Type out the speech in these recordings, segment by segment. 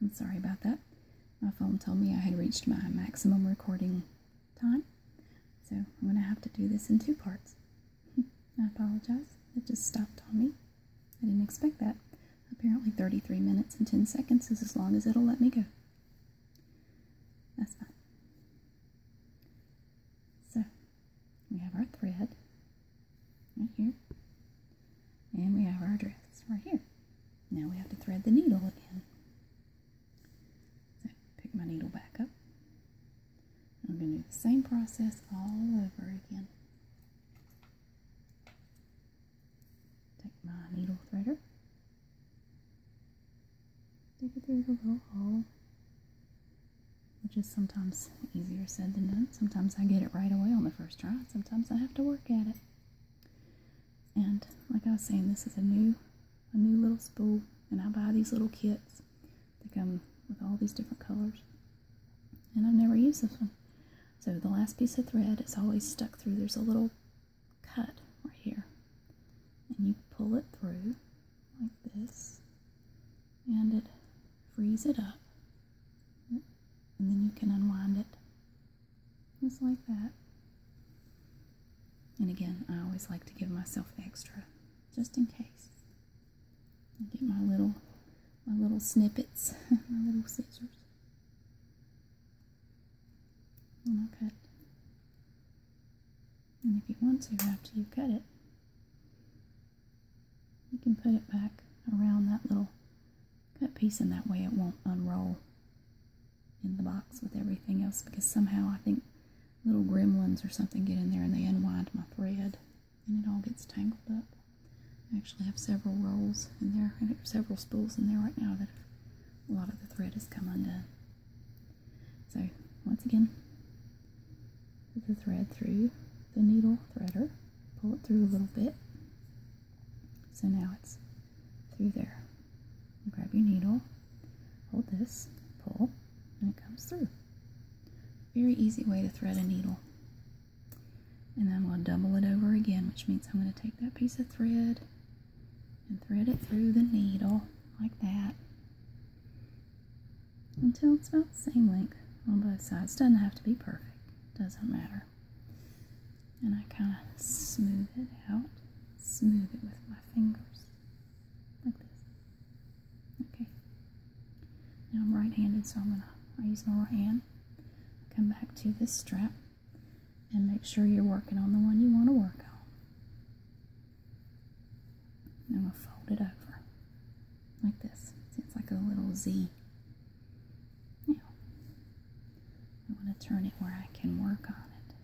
I'm sorry about that. My phone told me I had reached my maximum recording time, so I'm going to have to do this in two parts. I apologize. It just stopped on me. I didn't expect that. Apparently 33 minutes and 10 seconds is as long as it'll let me go. That's fine. So, we have our thread right here. And we have our dress right here. Now we have to thread the needle again. So pick my needle back up. I'm going to do the same process all over again. Take my needle threader. Stick it through the little hole. Which is sometimes easier said than done. Sometimes I get it right away on the first try sometimes I have to work at it. And like I was saying, this is a new, a new little spool, and I buy these little kits. They come with all these different colors, and I've never used this one. So the last piece of thread is always stuck through. There's a little cut right here, and you pull it through like this, and it frees it up and then you can unwind it just like that and again i always like to give myself extra just in case I get my little my little snippets my little scissors and i cut and if you want to after you cut it you can put it back around that little Cut piece in that way it won't unroll in the box with everything else because somehow I think little gremlins or something get in there and they unwind my thread and it all gets tangled up. I actually have several rolls in there and several spools in there right now that a lot of the thread has come undone. So once again, put the thread through the needle threader, pull it through a little bit, so now it's through there. grab your needle, hold this, pull, and it comes through. Very easy way to thread a needle. And then I'm going to double it over again, which means I'm going to take that piece of thread and thread it through the needle like that until it's about the same length on both sides. Doesn't have to be perfect, doesn't matter. And I kind of smooth it out, smooth it with my fingers, like this. Okay. Now I'm right-handed, so I'm gonna I use my right hand. Come back to this strap and make sure you're working on the one you want to work on. I'm gonna fold it over like this. It's like a little Z. Now, I want to turn it where I can work on it.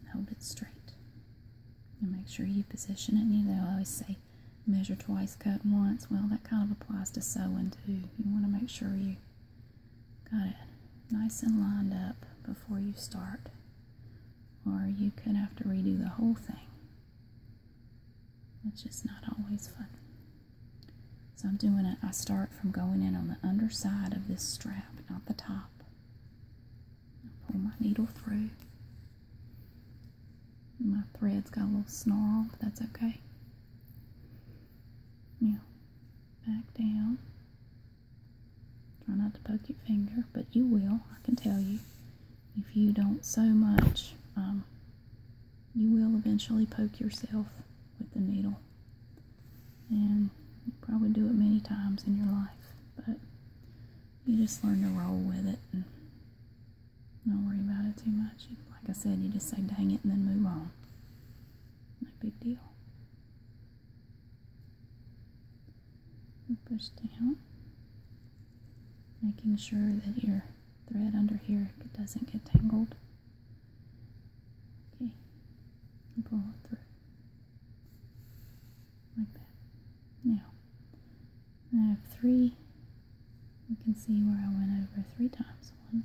And hold it straight. And make sure you position it. You know, I always say measure twice, cut once. Well, that kind of applies to sewing too. You want to make sure you got it nice and lined up before you start. Or you could have to redo the whole thing. It's just not always fun. So I'm doing it, I start from going in on the underside of this strap, not the top. pull my needle through. My thread's got a little snarl, but that's okay. Now, back down. Try not to poke your finger, but you will, I can tell you if you don't so much, um, you will eventually poke yourself with the needle. And you probably do it many times in your life, but you just learn to roll with it and don't worry about it too much. Like I said, you just say dang it and then move on. No big deal. Push down making sure that your thread under here doesn't get tangled. Okay, and pull it through like that. Now, I have three. You can see where I went over three times. One,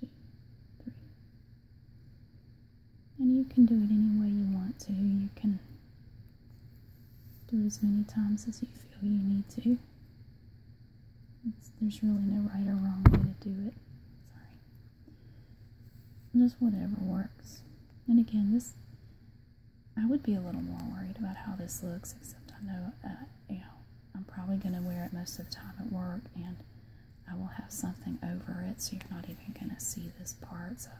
two, three. And you can do it any way you want to. You can do it as many times as you feel you need to there's really no right or wrong way to do it. Sorry. Just whatever works. And again, this, I would be a little more worried about how this looks, except I know, uh, you know, I'm probably going to wear it most of the time at work, and I will have something over it, so you're not even going to see this part, so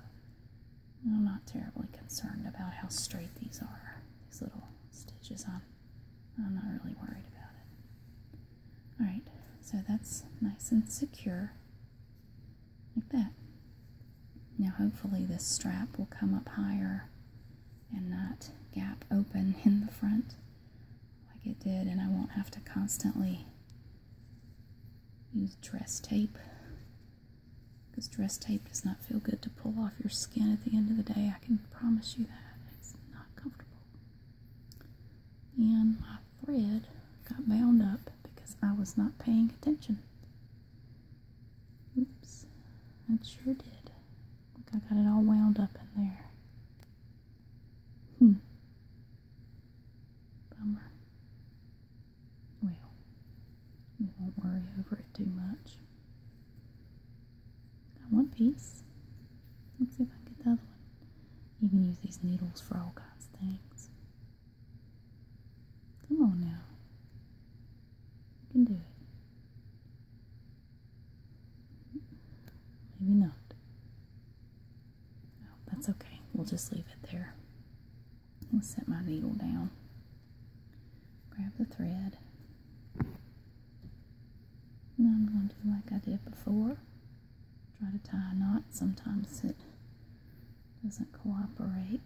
I'm not terribly concerned about how straight these are, these little stitches on. I'm not really worried about it. Alright, so that's nice and secure, like that. Now hopefully this strap will come up higher and not gap open in the front like it did and I won't have to constantly use dress tape because dress tape does not feel good to pull off your skin at the end of the day. I can promise you that. It's not comfortable. And my thread got bound up because I was not paying attention. Oops. That sure did. I got it all wound up in there. Hmm. Bummer. Well, we won't worry over it too much. Got one piece. Let's see if I can get the other one. You can use these needles for all kinds of things. Come on now. You can do it. Maybe not. Oh, that's okay. We'll just leave it there. I'll set my needle down grab the thread. Now I'm going to do like I did before. Try to tie a knot. Sometimes it doesn't cooperate,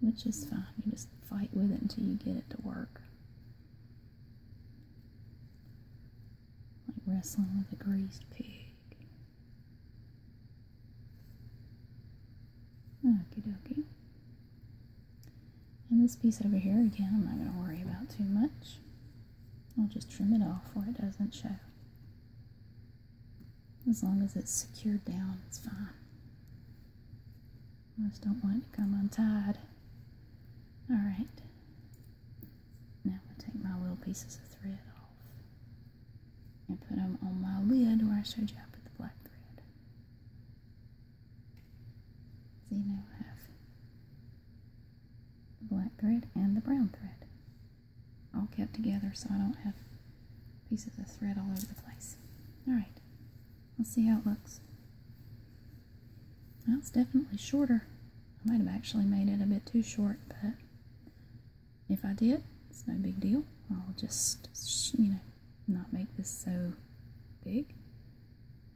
which is fine. You just fight with it until you get it to work. Like wrestling with a greased pig. Okie dokie. And this piece over here, again, I'm not going to worry about too much. I'll just trim it off where it doesn't show. As long as it's secured down, it's fine. I just don't want it to come untied. Alright. Now I'm going to take my little pieces of thread off and put them on my lid where I showed you I put the black thread. So now I have the black thread and the brown thread all kept together so I don't have pieces of thread all over the place. Alright, let's see how it looks. That's definitely shorter. I might have actually made it a bit too short, but if I did, it's no big deal. I'll just, you know, not make this so big.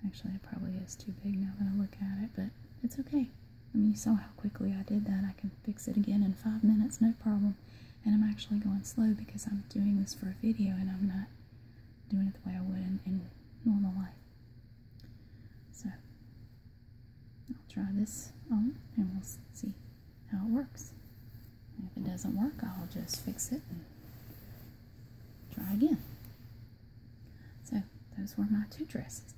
Actually, it probably is too big now that I look at it, but it's okay. I mean, you saw how quickly I did that. I can fix it again in five minutes, no problem. And I'm actually going slow because I'm doing this for a video and I'm not doing it the way I would in, normal life. So, I'll try this on and we'll see how it works. If it doesn't work, I'll just fix it and try again. So, those were my two dresses.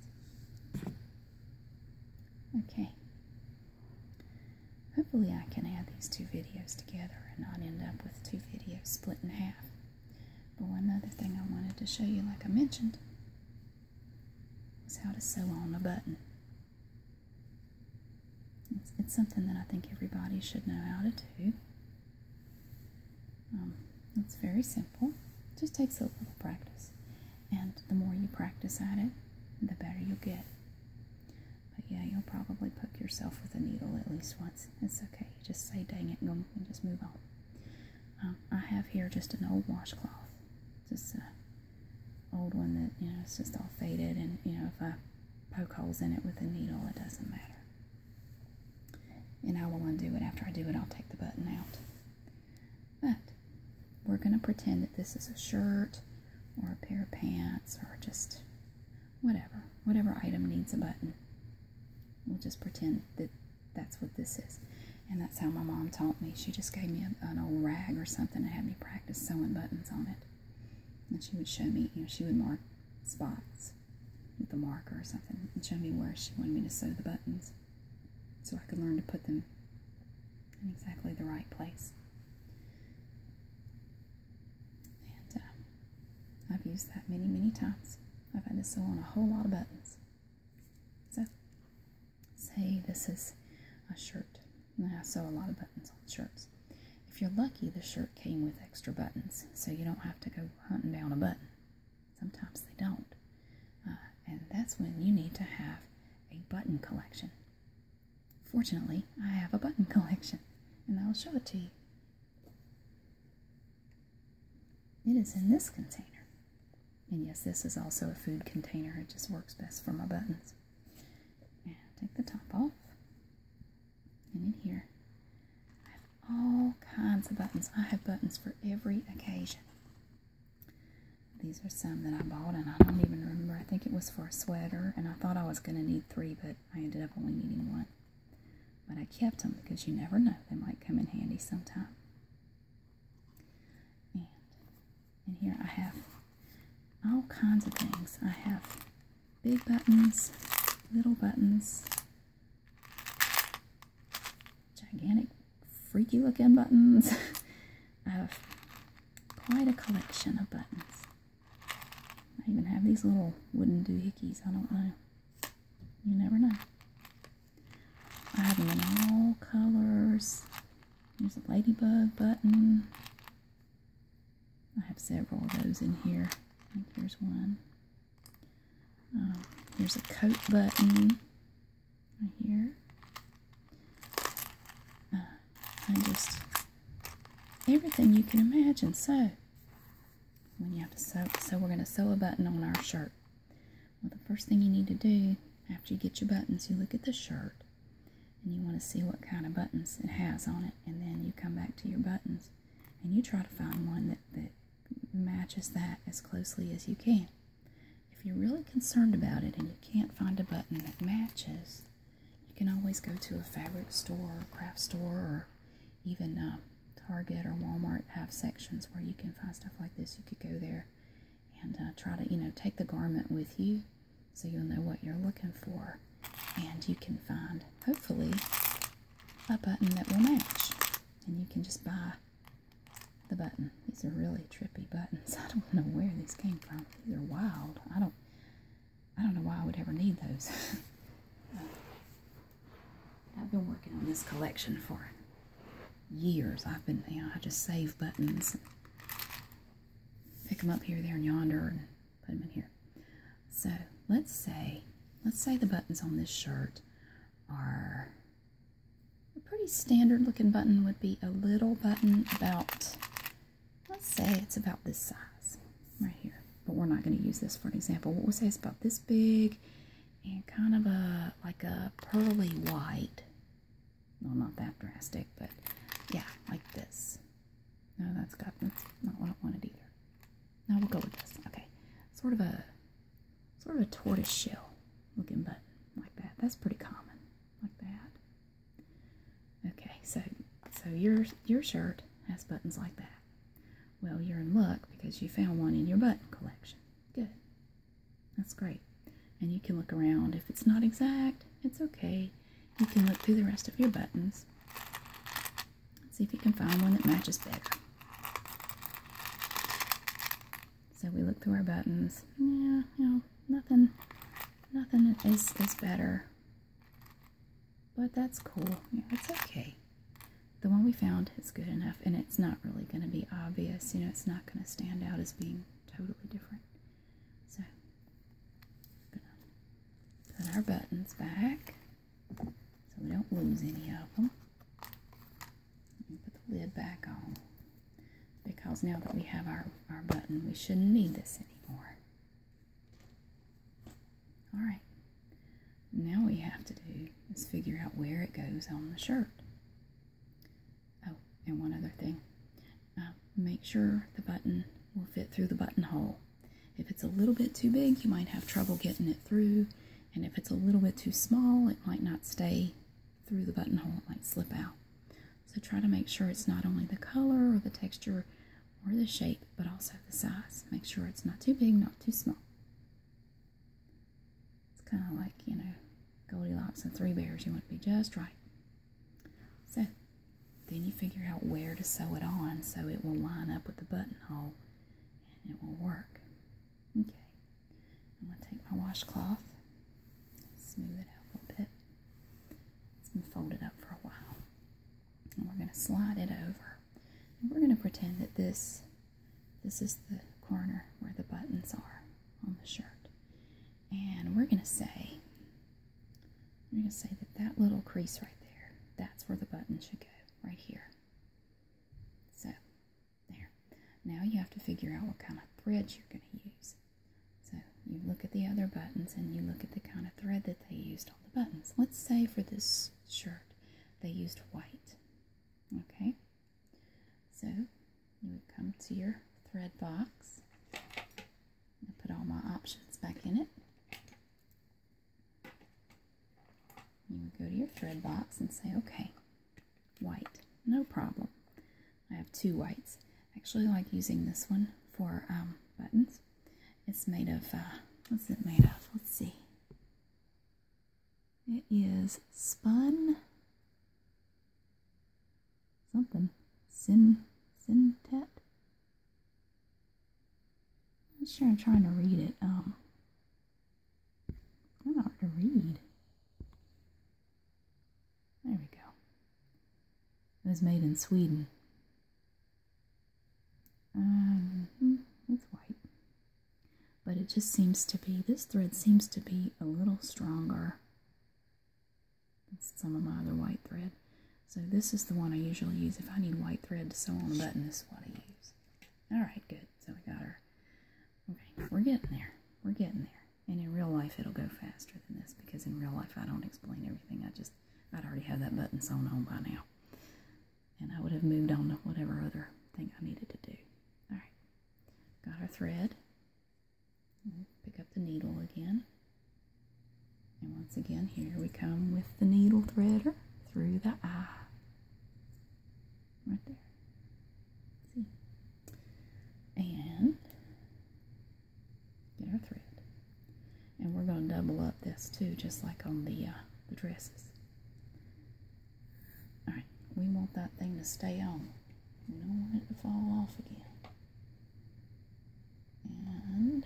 Okay. Hopefully I can add these two videos together and not end up with two videos split in half. But one other thing I wanted to show you, like I mentioned, was how to sew on a button. It's, something that I think everybody should know how to do. Um, it's very simple. just takes a little practice. And the more you practice at it, the better you'll get. But yeah, you'll probably poke yourself with a needle at least once. It's okay. You just say, dang it, and just move on. Um, I have here just an old washcloth. Just an old one that, you know, it's just all faded. And, you know, if I poke holes in it with a needle, it doesn't matter. And I will undo it. After I do it, I'll take the button out. But we're going to pretend that this is a shirt or a pair of pants or just whatever. Whatever item needs a button. We'll just pretend that that's what this is. And that's how my mom taught me. She just gave me an old rag or something and had me practice sewing buttons on it and she would show me, you know, she would mark spots with a marker or something and show me where she wanted me to sew the buttons so I could learn to put them in exactly the right place. And uh, I've used that many, many times. I've had to sew on a whole lot of buttons. So, say this is a shirt I sew a lot of buttons on shirts. If you're lucky, the shirt came with extra buttons, so you don't have to go hunting down a button. Sometimes they don't. Uh, and that's when you need to have a button collection. Fortunately, I have a button collection, and I'll show it to you. It is in this container. And yes, this is also a food container. It just works best for my buttons. take the top off. And in here, I have all kinds of buttons. I have buttons for every occasion. These are some that I bought, and I don't even remember. I think it was for a sweater, and I thought I was going to need three, but I ended up only needing one. But I kept them because you never know, they might come in handy sometime. And in here, I have all kinds of things. I have big buttons, little buttons, gigantic, freaky looking buttons. I have quite a collection of buttons. I even have these little wooden doohickeys. I don't know. You never know. I have them in all colors. There's a ladybug button. I have several of those in here. And here's one. Um, a coat button right here. Uh, just everything you can imagine. So, when you have to sew, so we're going to sew a button on our shirt. Well, the first thing you need to do after you get your buttons, you look at the shirt and you want to see what kind of buttons it has on it and then you come back to your buttons and you try to find one that, that matches that as closely as you can if you're really concerned about it and you can't find a button that matches you can always go to a fabric store or craft store or even uh, target or walmart have sections where you can find stuff like this you could go there and uh, try to you know take the garment with you so you'll know what you're looking for and you can find hopefully a button that will match and you can just buy the button these are really trippy buttons i don't know where these came from these are wild i don't i don't know why i would ever need those i've been working on this collection for years i've been you know i just save buttons pick them up here there and yonder put them in here. So let's say, let's say the buttons on this shirt are a pretty standard looking button would be a little button about, let's say it's about this size right here. But we're not going to use this for an example. What we'll say it's about this big and kind of a, like a pearly white. Well, not that drastic, but yeah, like this. No, that's that's not what I wanted either. Now we'll go with this. Okay, sort of a sort of a tortoise shell looking button like that. That's pretty common, like that. Okay, so so your your shirt has buttons like that. Well, you're in luck because you found one in your button collection. Good, that's great. And you can look around. If it's not exact, it's okay you can look through the rest of your buttons and see if you can find one that matches better. So we look through our buttons. Yeah, you nothing, nothing is, is better. But that's cool. Yeah, it's okay. The one we found is good enough, and it's not really going to be obvious. You know, it's not going to stand out as being totally different. So, put our buttons back so we don't lose any of them. Put the lid back on because now that we have our, our button, we shouldn't need this anymore. All right, now we have to do is figure out where it goes on the shirt. Oh, and one other thing. Um, make sure the button will fit through the buttonhole. If it's a little bit too big, you might have trouble getting it through, and if it's a little bit too small, it might not stay through the buttonhole, it might slip out. So try to make sure it's not only the color or the texture or the shape, but also the size. Make sure it's not too big, not too small. It's kind of like, you know, Goldilocks and Three Bears. You want to be just right. So then you figure out where to sew it on so it will line up with the buttonhole and it will work. Okay, I'm going to take my washcloth, smooth it out a little bit. It's been folded up for a while. And we're going to slide it over. And we're going to pretend that this, this is the corner where the buttons are on the shirt. And we're going to say, we're going to say that that little crease right there, that's where the button should go, right here. So, there. Now you have to figure out what kind of thread you're going to use. So, you look at the other buttons and you look at the kind of thread that they used on the buttons. Let's say for this shirt, they used white. Okay? So, you would come to your thread box put all my options back in it. You would go to your thread box and say, okay, white, no problem. I have two whites. Actually, like using this one for um, buttons. It's made of, uh, what's it made of? Let's see. It is spun something. Sin Sintet? I'm sure I'm trying to read it. Um kind hard to read. There we go. It was made in Sweden. Um, it's hmm, white. But it just seems to be, this thread seems to be a little stronger some of my other white thread. So this is the one I usually use. If I need white thread to sew on a button, this is what I use. Alright, good. So we got her. Okay, we're getting there. We're getting there. And in real life, it'll go faster than this because in real life, I don't explain everything. I just, I'd already have that button sewn on by now. And I would have moved on to whatever other thing I needed to do. Alright, got our thread pick up the needle again. And once again, here we come with the needle threader through the eye. Right there. See? And get our thread. And we're going to double up this too, just like on the, uh, the dresses. Alright, we want that thing to stay on. We don't want it to fall off again. And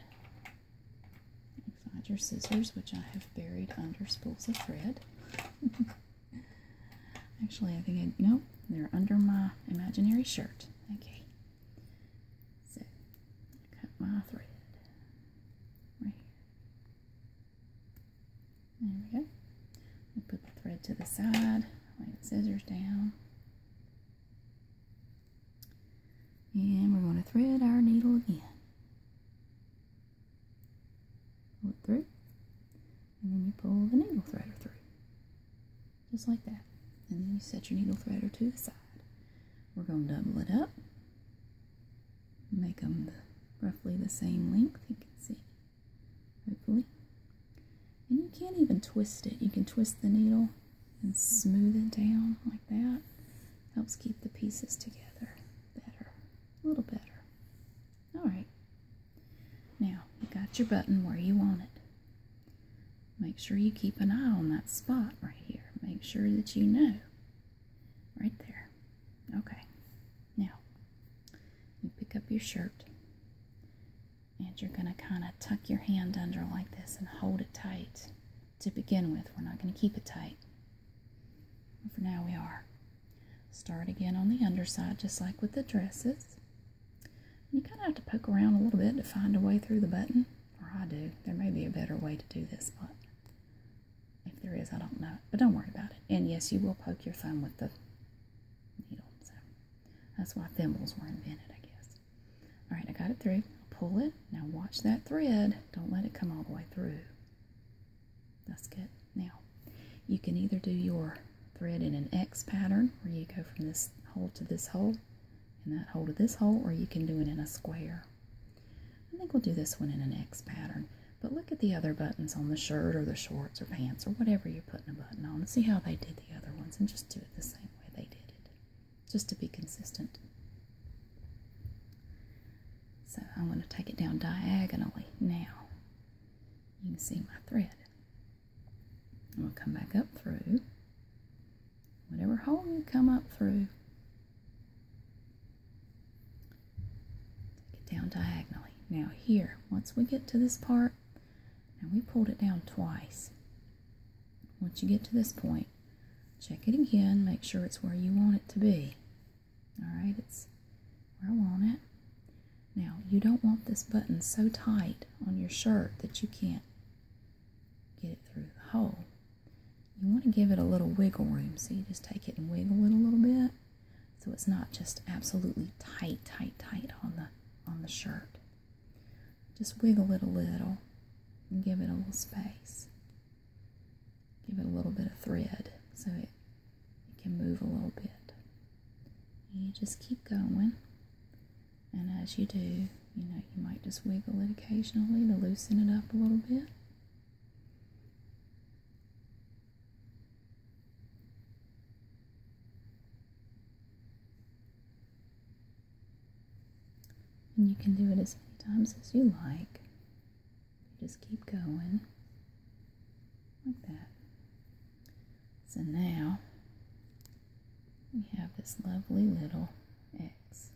find your scissors, which I have buried under spools of thread. Actually, I think I, nope, they're under my imaginary shirt. Okay. So, cut my thread. Right here. There we go. put the thread to the side, lay scissors down. And we're going to thread our needle again. Pull it through. And then you pull the needle threader through. Just like that. And then you set your needle threader to the side. We're going to double it up. Make them roughly the same length, you can see. Hopefully. And you can't even twist it. You can twist the needle and smooth it down like that. Helps keep the pieces together better, a little better. All right. Now, you got your button where you want it. Make sure you keep an eye on that spot right here. Make sure that you know. Right there. Okay. Now, you pick up your shirt and you're going to kind of tuck your hand under like this and hold it tight to begin with. We're not going to keep it tight. But for now, we are. Start again on the underside, just like with the dresses. You kind of have to poke around a little bit to find a way through the button, or I do. There may be a better way to do this, but if there is, I don't know. But don't worry about it. And yes, you will poke your thumb with the needle. That's why thimbles were invented, I guess. All right, I got it through. I'll pull it. Now watch that thread. Don't let it come all the way through. That's good. Now, you can either do your thread in an X pattern, where you go from this hole to this hole, and that hole to this hole, or you can do it in a square. I think we'll do this one in an X pattern. But look at the other buttons on the shirt or the shorts or pants or whatever you're putting a button on and see how they did the other ones and just do it the same way they did it, just to be consistent. So I am going to take it down diagonally now. You can see my thread. I'm going to come back up through whatever hole you come up through. Get down diagonally. Now here, once we get to this part, now we pulled it down twice. Once you get to this point, check it again, make sure it's where you want it to be. Alright, it's where I want it. Now, you don't want this button so tight on your shirt that you can't get it through the hole. You want to give it a little wiggle room, so you just take it and wiggle it a little bit so it's not just absolutely tight, tight, tight on the on the shirt. Just wiggle it a little give it a little space. Give it a little bit of thread so it, it can move a little bit. You just keep going, and as you do, you know, you might just wiggle it occasionally to loosen it up a little bit. And you can do it as many times as you like. Just keep going like that. So now we have this lovely little X.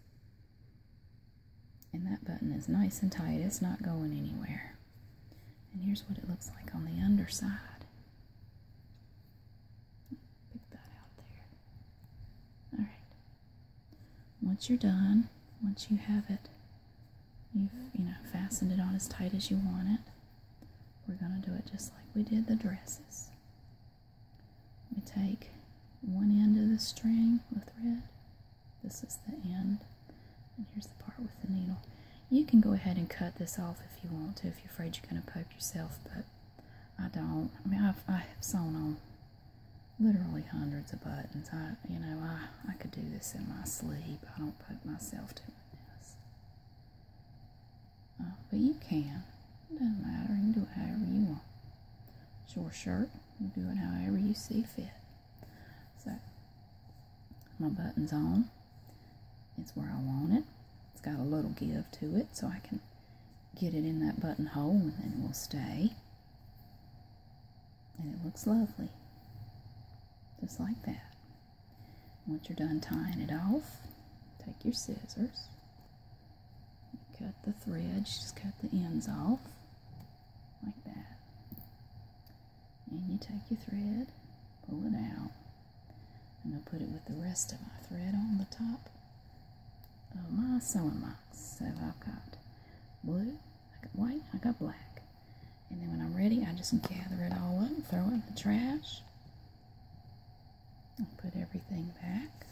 And that button is nice and tight. It's not going anywhere. And here's what it looks like on the underside. Pick that out there. Alright. Once you're done, once you have it, you've, you know, fastened it on as tight as you want it, we're going to do it just like we did the dresses. We take one end of the string with thread. This is the end. And here's the part with the needle. You can go ahead and cut this off if you want to, if you're afraid you're going to poke yourself, but I don't. I mean, I've, sewn on literally hundreds of buttons. I, you know, I, I could do this in my sleep. I don't poke myself doing this. Uh, but you can. doesn't matter. You can do it however you want. It's your shirt. You do it however you see fit. So, my button's on. It's where I want it. It's got a little give to it, so I can get it in that buttonhole and then it will stay. And it looks lovely. Just like that. Once you're done tying it off, take your scissors, cut the thread, just cut the ends off, like that. And you take your thread, pull it out, and i put it with the rest of my thread on the top of my sewing box. So I've got blue, I got white, I got black. And then when I'm ready, I just gather it all up, throw it in the trash. and put everything back.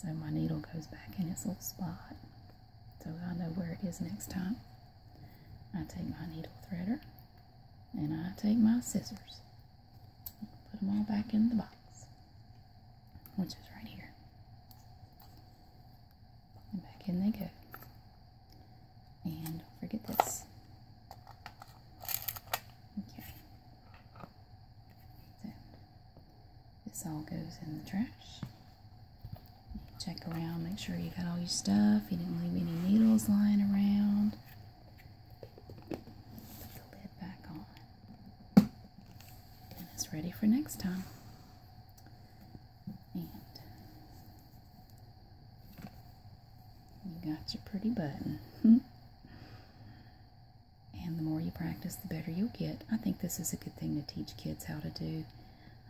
So my needle goes back in its little spot. So I know where it is next time. I take my needle threader and I take my scissors, put them all back in the box, which is right here. And back in they go. And forget this. Okay. So, this all goes in the trash. Check around, make sure you got all your stuff. You didn't leave any needles lying around. Put the lid back on. And it's ready for next time. And you got your pretty button. and the more you practice, the better you'll get. I think this is a good thing to teach kids how to do.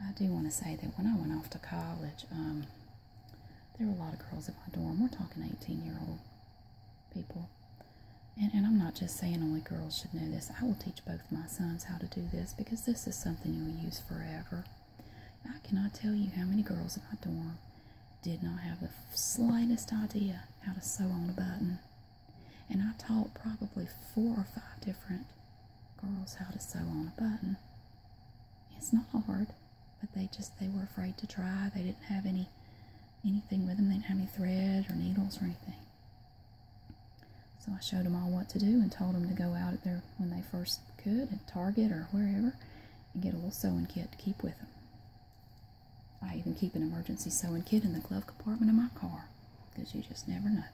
I do want to say that when I went off to college, um, there are a lot of girls in my dorm. We're talking 18 year old people. And, and I'm not just saying only girls should know this. I will teach both my sons how to do this because this is something you'll use forever. I cannot tell you how many girls in my dorm did not have the slightest idea how to sew on a button. And I taught probably four or five different girls how to sew on a button. It's not hard but they just they were afraid to try. They didn't have any anything with them. They didn't have any thread or needles or anything. So I showed them all what to do and told them to go out at their when they first could at Target or wherever and get a little sewing kit to keep with them. I even keep an emergency sewing kit in the glove compartment of my car because you just never know.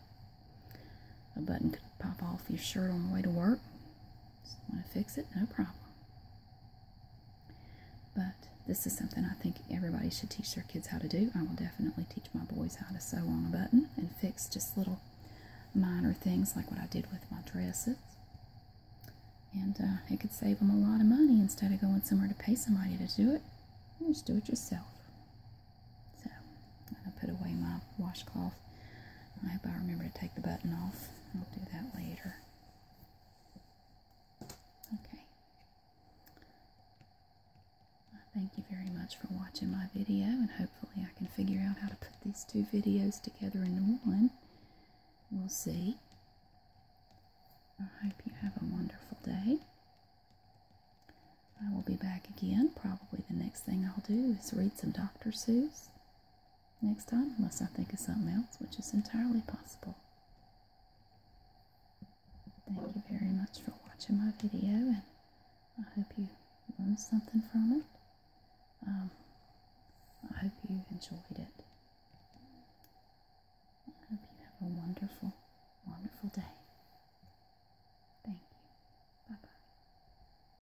A button could pop off your shirt on the way to work. So I want to fix it, no problem. But this is something I think everybody should teach their kids how to do. I will definitely teach my boys how to sew on a button and fix just little minor things like what I did with my dresses. And uh, it could save them a lot of money instead of going somewhere to pay somebody to do it. just do it yourself. So, I'm going to put away my washcloth. I hope I remember to take the button off. I'll do that later. Okay. thank you very much for watching my video and hopefully I can figure out how to put these two videos together in one. We'll see. I hope you have a wonderful day. I will be back again. Probably the next thing I'll do is read some Dr. Seuss next time unless I think of something else, which is entirely possible. Thank you very much for watching my video, and I hope you learned something from it. Um, I hope you enjoyed it. I hope you have a wonderful, wonderful day. Thank you. Bye bye.